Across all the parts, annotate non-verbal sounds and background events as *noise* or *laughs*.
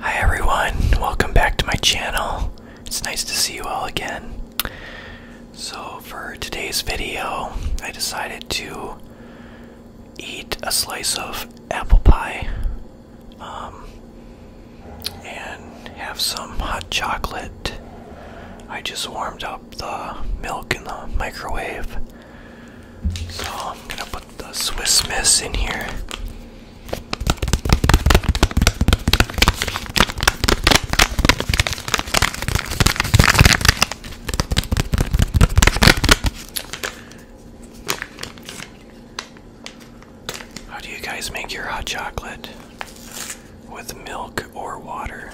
Hi everyone, welcome back to my channel. It's nice to see you all again. So, for today's video, I decided to eat a slice of apple pie um, and have some hot chocolate. I just warmed up the milk in the microwave so I'm gonna put the Swiss Miss in here. How do you guys make your hot chocolate? With milk or water.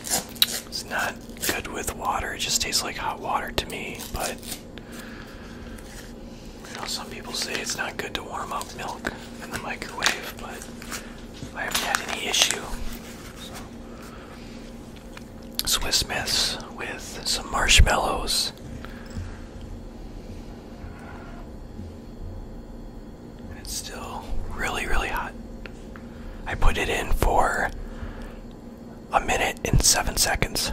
It's not good with water, it just tastes like hot water to me, but I know some people say it's not good to warm up milk in the microwave, but I haven't had any issue. Swiss Miss with some marshmallows. And it's still really, really hot. I put it in for a minute and seven seconds.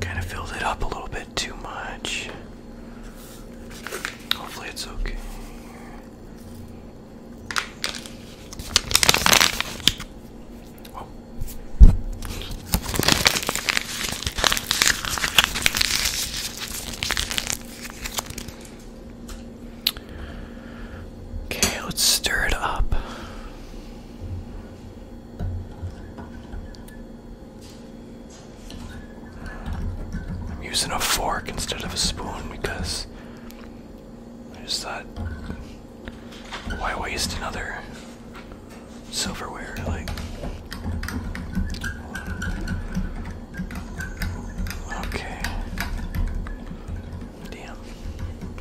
Kind of filled it up a little bit too much. Hopefully, it's okay. Okay, let's stir it up. I'm using a fork instead of a spoon because I just thought, why waste another silverware, like okay. Damn.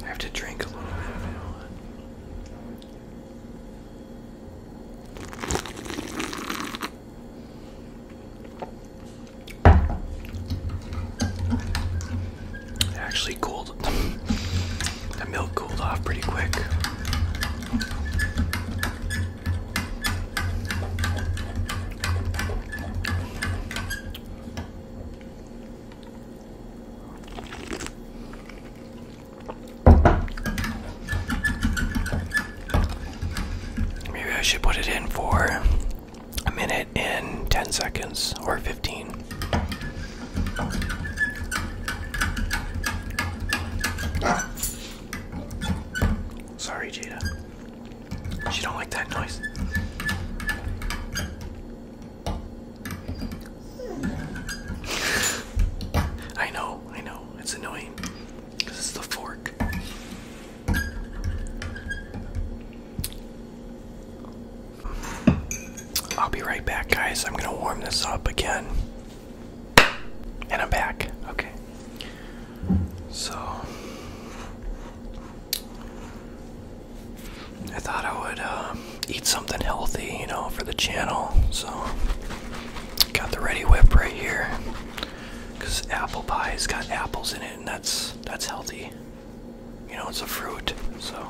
I have to drink a little bit of it. actually cooled. *laughs* The milk cooled off pretty quick. Maybe I should put it in for a minute and 10 seconds or 15. Sorry, Jada. She don't like that noise. I know, I know. It's annoying This is the fork. I'll be right back, guys. I'm gonna warm this up again. And I'm back. Okay. So, I thought I would uh, eat something healthy, you know, for the channel. So, got the Ready Whip right here. Because apple pie has got apples in it, and that's that's healthy. You know, it's a fruit, so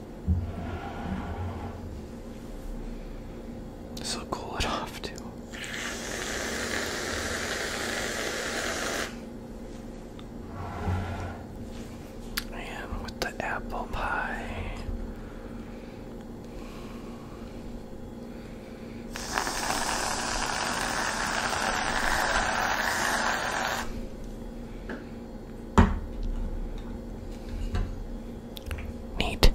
This will cool it off too. And with the apple pie. Neat.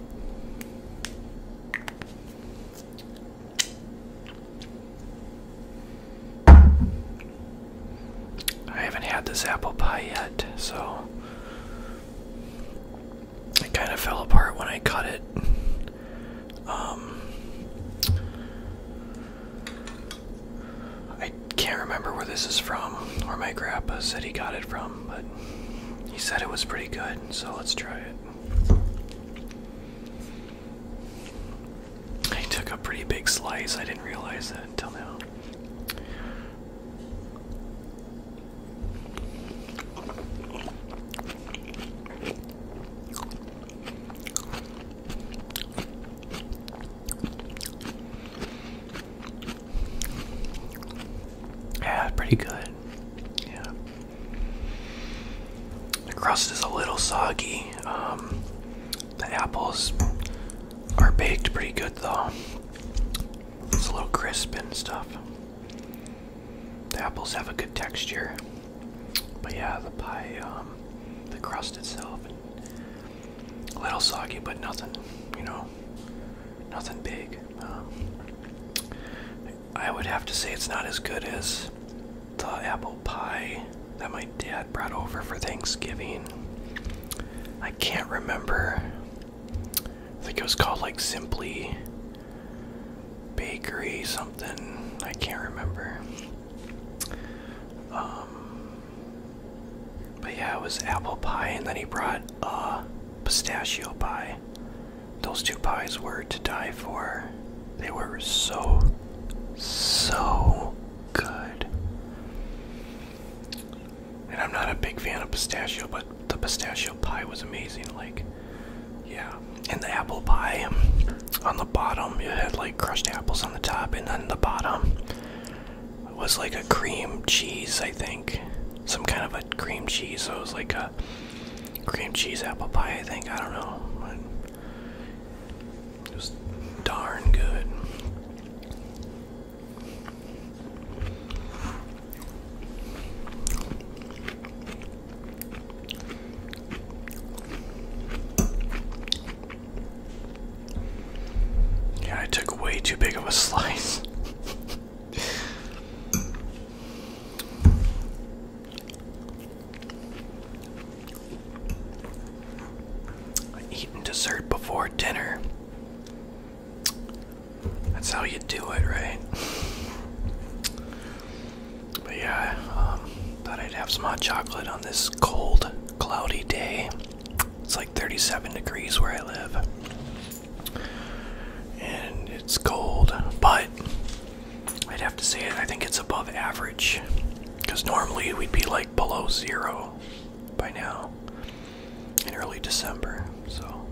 I haven't had this apple pie yet, so it kind of fell apart when I cut it. Um, I can't remember where this is from, or my grandpa said he got it from, but he said it was pretty good, so let's try it. I took a pretty big slice, I didn't realize that until now. Yeah, pretty good. Yeah. The crust is a little soggy. Um, the apples are baked pretty good though. It's a little crisp and stuff. The apples have a good texture. But yeah, the pie, um, the crust itself, a little soggy, but nothing, you know, nothing big. Um, I would have to say it's not as good as the apple pie that my dad brought over for Thanksgiving. I can't remember. I think it was called like Simply Bakery something. I can't remember. Um, but yeah, it was apple pie, and then he brought a uh, pistachio pie. Those two pies were to die for. They were so, so good. And I'm not a big fan of pistachio, but the pistachio pie was amazing. Like, yeah. And the apple pie um, on the bottom, it had like crushed apples on the top, and then the bottom was like a cream cheese, I think. Some kind of a cream cheese. So it was like a cream cheese apple pie, I think. I don't know. It was darn good. Yeah, I took way too big of a slice. Eating dessert before dinner. That's how you do it, right? But yeah, um, thought I'd have some hot chocolate on this cold, cloudy day. It's like 37 degrees where I live. And it's cold, but I'd have to say I think it's above average. Because normally we'd be like below zero by now in early December. So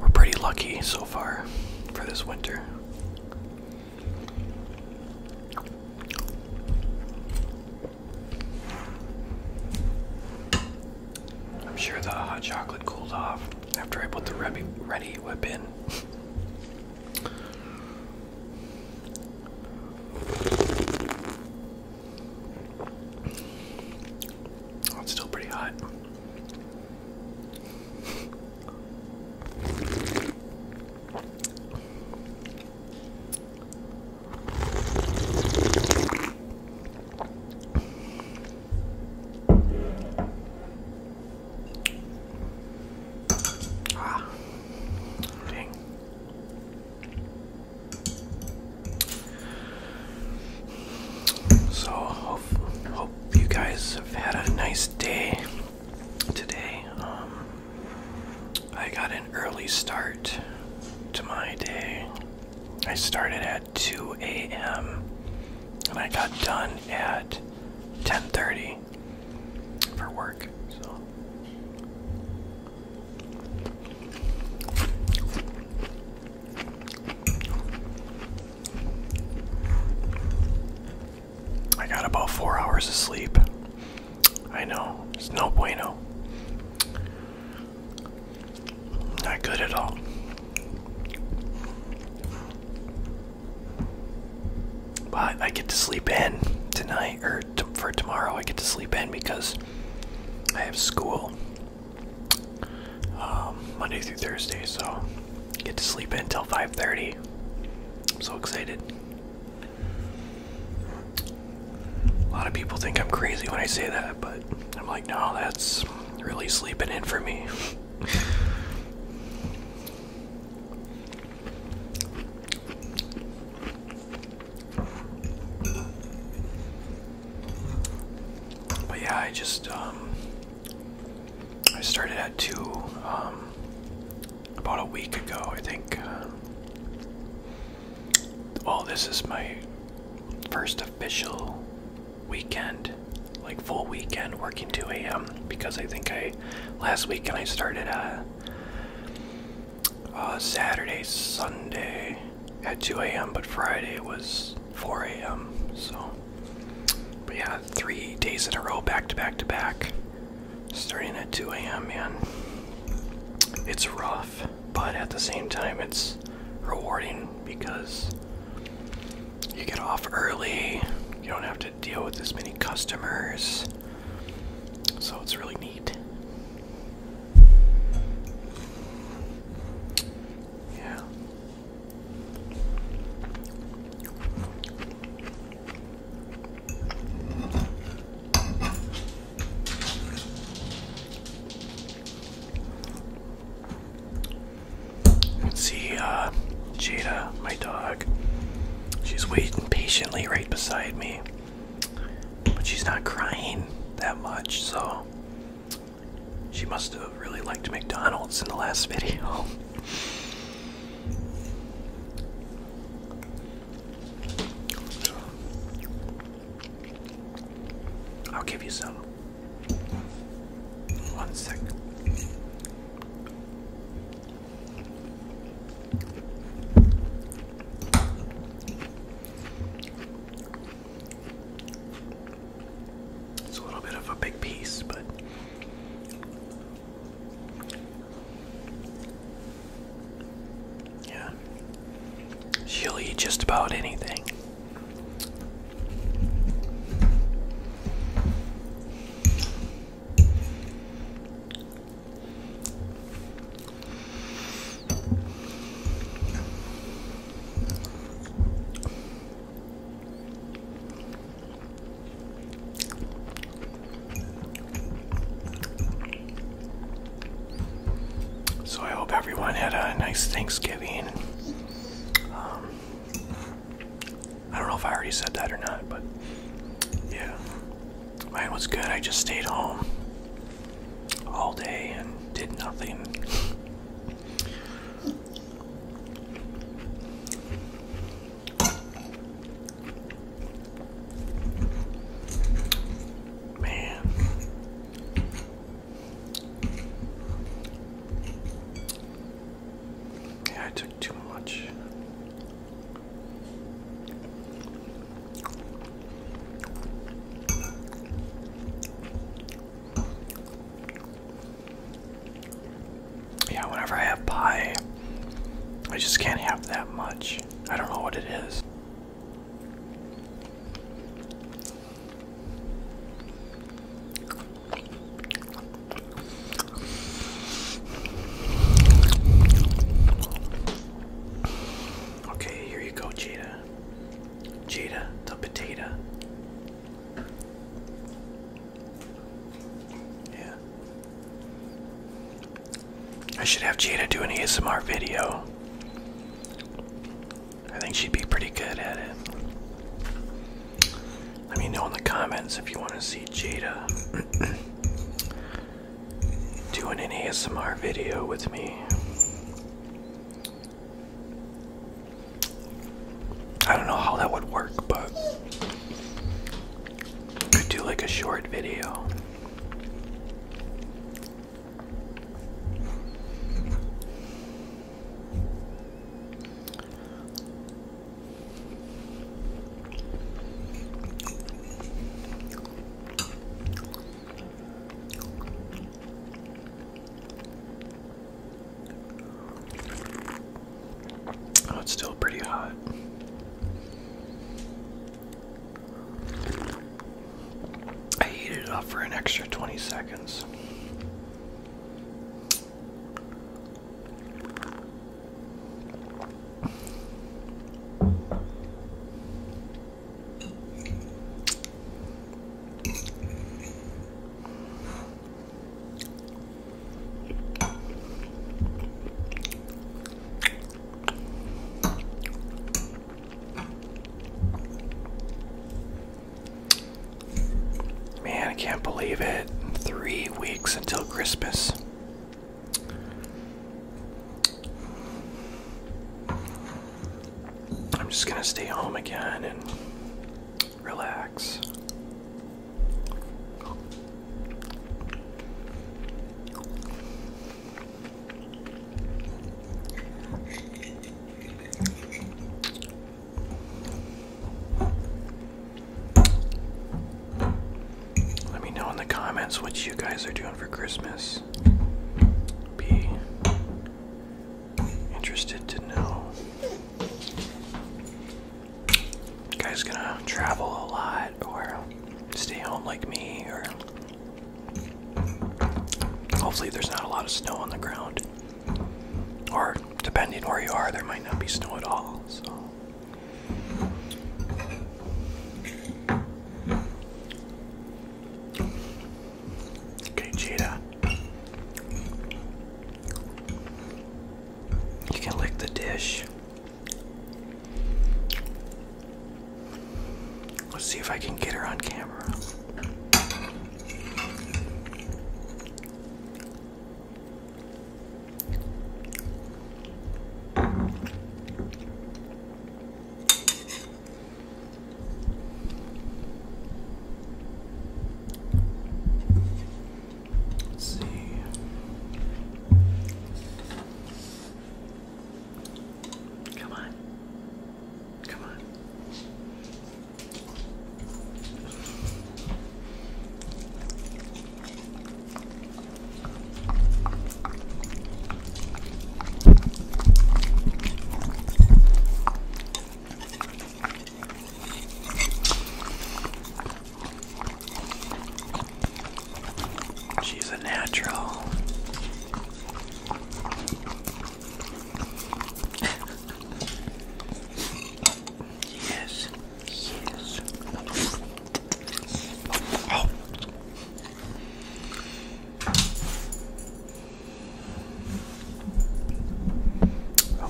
we're pretty lucky so far for this winter. I'm sure the hot chocolate cooled off after I put the ready, whip in. Oh, it's still pretty hot. So, hope, you guys have had a nice day today. Um, I got an early start to my day. I started at 2 a.m. and I got done at 10:30 for work. So I got about four hours of sleep. I know, it's no bueno. Not good at all. But I get to sleep in tonight, or for tomorrow, I get to sleep in because I have school um, Monday through Thursday, so I get to sleep in till 5:30. I'm so excited. A lot of people think I'm crazy when I say that, but I'm like, no, that's really sleeping in for me. But yeah, I just um, I started at two um, about a week ago, I think. Um, well, this is my first official weekend, like full weekend working 2 a.m. because I think I last weekend I started uh, uh, Saturday, Sunday at 2 a.m., but Friday was 4 a.m. So, but yeah, three days in a row, back to back to back starting at 2 a.m., man. It's rough, but at the same time, it's rewarding because you get off early, you don't have to deal with as many customers, so it's really neat. Yeah see, uh, Jada, my dog, she's waiting patiently right beside me, but she's not crying that much, so she must have really liked McDonald's in the last *laughs* video. I'll give you some. One sec. It's a little bit of a big piece, but yeah. She'll eat just about anything. So I hope everyone had a nice Thanksgiving. Um, I don't know if I already said that or not, but yeah, mine was good. I just stayed home all day and did nothing. Man. Yeah, I took too much. Yeah, whenever I have pie, I just can't have that much. I don't know what it is. Okay, here you go, Jada. Jada, the potato. Yeah. I should have Jada do an ASMR video. I think she'd be pretty good at it. Let me know in the comments if you want to see Jada *clears throat* doing an ASMR video with me. I don't know how that would work, but could do like a short video. Oh, it's still pretty hot. I heated it up for an extra 20 seconds. Man, I can't believe it. Three weeks until Christmas. I'm just gonna stay home again and relax. Let me know in the comments what you guys are doing for Christmas. Be interested to know. guys gonna travel a lot or stay home like me or hopefully there's not a lot of snow on the ground. Or depending where you are there might not be snow at all, so Okay, Cheetah. You can lick the dish. Let's see if I can get her on camera. Let's see. Come on. Come on. She's a natural. yes, yes. Oh.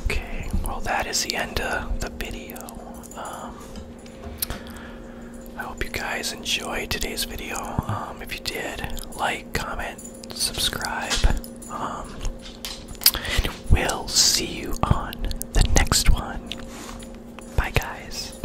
Okay, well, that is the end of the video. Um, I hope you guys enjoyed today's video. Um, if you did, like, comment, subscribe. Um, and we'll see you on the next one. Bye, guys.